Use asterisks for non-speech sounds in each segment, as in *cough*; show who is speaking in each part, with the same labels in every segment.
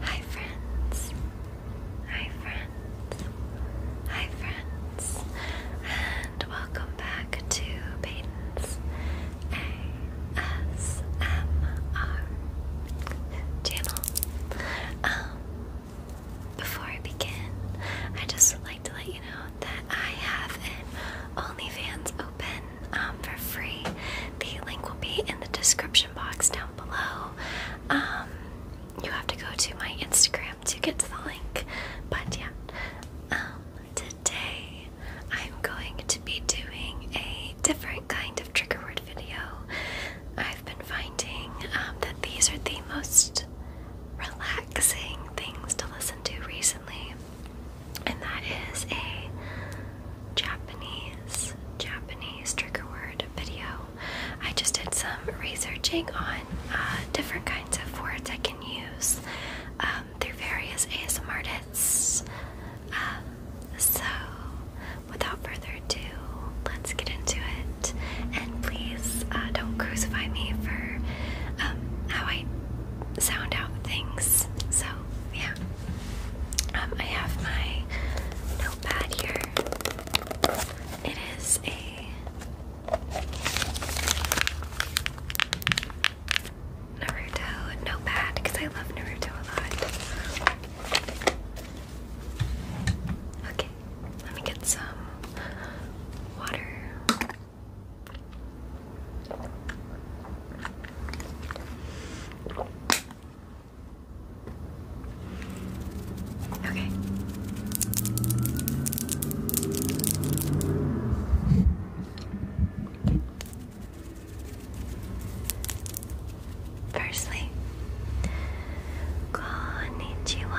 Speaker 1: Hi friends. Hi friends. Hi friends. And welcome back to Peyton's ASMR channel. Um before I begin, I just to let you know that I have OnlyFans open um, for free. The link will be in the description box down below. Um, you have to go to my Instagram to get to the link, but yeah. Um, today I'm going to be doing a different kind of trigger word video. I've been finding that these are the most relaxing things to listen to recently, and that is a Japanese Japanese trigger word video. I just did some researching on uh, different kinds of words I can use um, through various ASM artists. Um, so, without further ado, let's get into it please uh, don't crucify me for um, how I sound out things. So, yeah. Um, I have my notepad here. It is a Naruto notepad because I love Naruto a lot. Okay, let me get some water. Okay. Firstly, konnichiwa.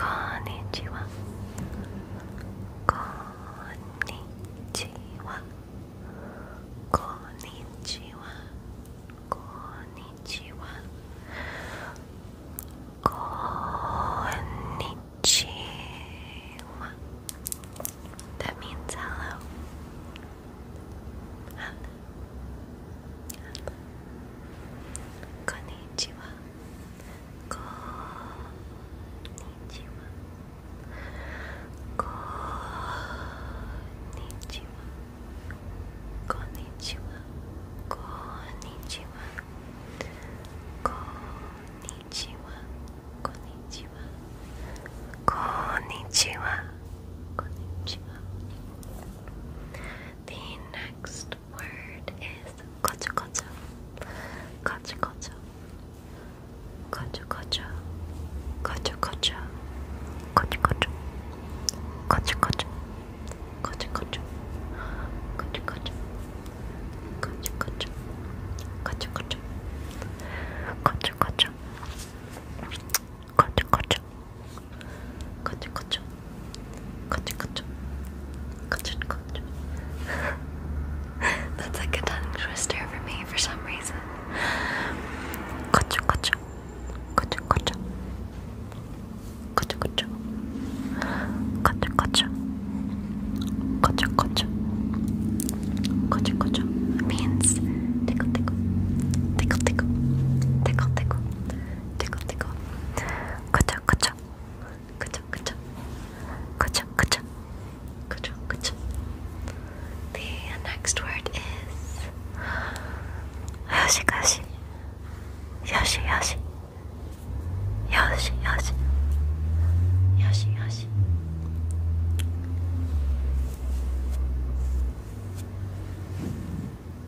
Speaker 1: Konnichiwa. Konnichiwa. Konnichiwa. Konnichiwa. Konnichiwa.
Speaker 2: That means hello. Hello. こんにちはこんにちはこんにちはこんにちはこんにちはこんにちはこんにちはこんにちはこんにちは
Speaker 1: The next word is kocho kocho.
Speaker 2: Kocho kocho. Kocho kocho. Kocho kocho. Kocho kocho. Kocho kocho. Kocho kocho. Kocho kocho. Kocho kocho. Kocho kocho. Kocho kocho. Gotcha, That's like a tongue twister for me for some reason.
Speaker 1: Gotcha, gotcha. Gotcha, gotcha. Gotcha, gotcha.
Speaker 2: Gotcha, gotcha. Gotcha, gotcha. Gotcha, gotcha. Means tickle, tickle. Tickle, tickle. Tickle, tickle tickle, The next word is Yoshi. Yoshi, Yoshi. Yoshi, Yoshi. Yoshi, Yoshi.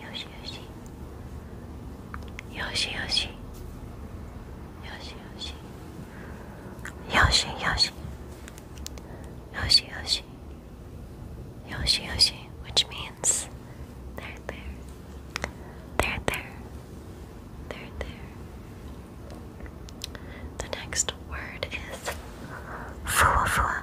Speaker 2: Yoshi, Yoshi. Yoshi, Yoshi. Yoshi, Yoshi. Yoshi, Yoshi. Yoshi, Yoshi. Yoshi, Yoshi, which means they're there. They're there. They're there. The next word is fua fua.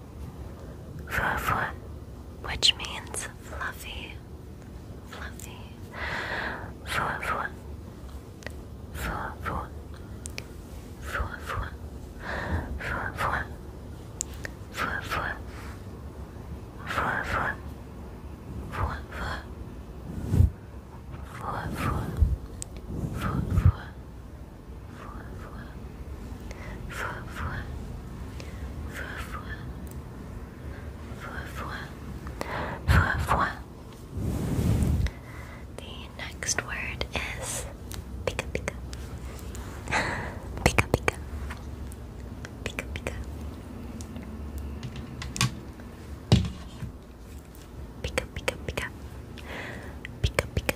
Speaker 2: Fufu, which means fluffy, fluffy. Fufu, fufu, fufu, fufu, fufu, fufu, fufu. Four, four, four, four, Fois, fois. Fois, fois. Fois, fois. Fois, fois. Fois, fois. The next word is pika pika. pika pika. Pika pika. Pika pika pika. Pika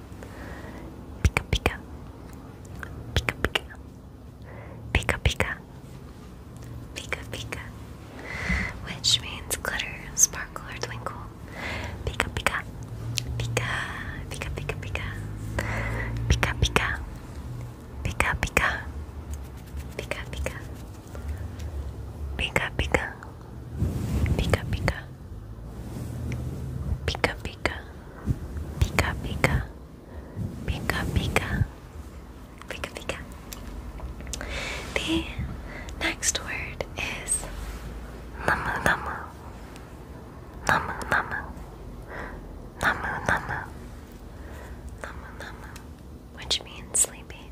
Speaker 1: Pika pika. Pika pika. Pika pika. Pika pika. Which means glitter, sparkle, or twinkle. Pika pika. Pika. Pika pika pika. Pika pika. Pika pika. Pika pika. Pika pika. Pika pika. Pika pika. Pika pika. Pika pika. Pika pika. The next word is namu namu. Namu namu.
Speaker 2: Namu namu. Namu namu. Which means sleepy.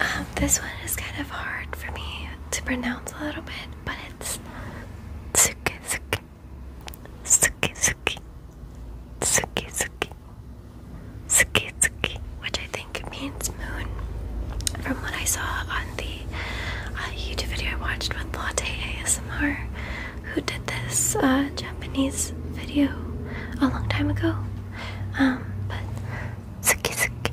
Speaker 1: Um, this one is kind of hard for me to pronounce a little bit, but it's suki suki suki suki suki tsuki, which I think means moon. From what I saw on the uh, YouTube video I watched with Latte ASMR, who did this uh, Japanese video a long time ago, um, but suki suki.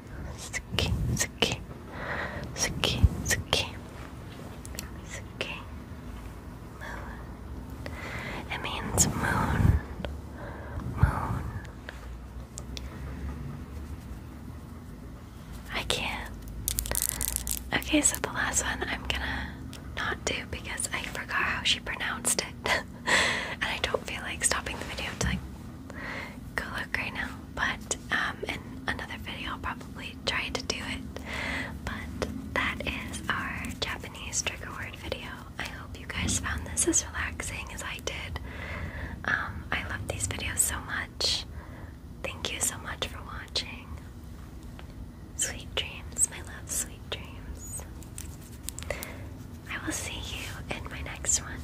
Speaker 1: Suki, Suki, Suki, Suki, Suki, moon. It means moon, moon. I can't. Okay, so the last one I'm gonna not do because I forgot how she pronounced it, *laughs* and I don't feel like stopping the video to like go look right now. But um, in another video, I'll probably try to do it. But that is our Japanese trigger word video. I hope you guys found this as relaxing as I did. Um, I love these videos so much. Thank you so much for watching. Sweet dreams, my love,
Speaker 2: sweet dreams. I will see you in my next one.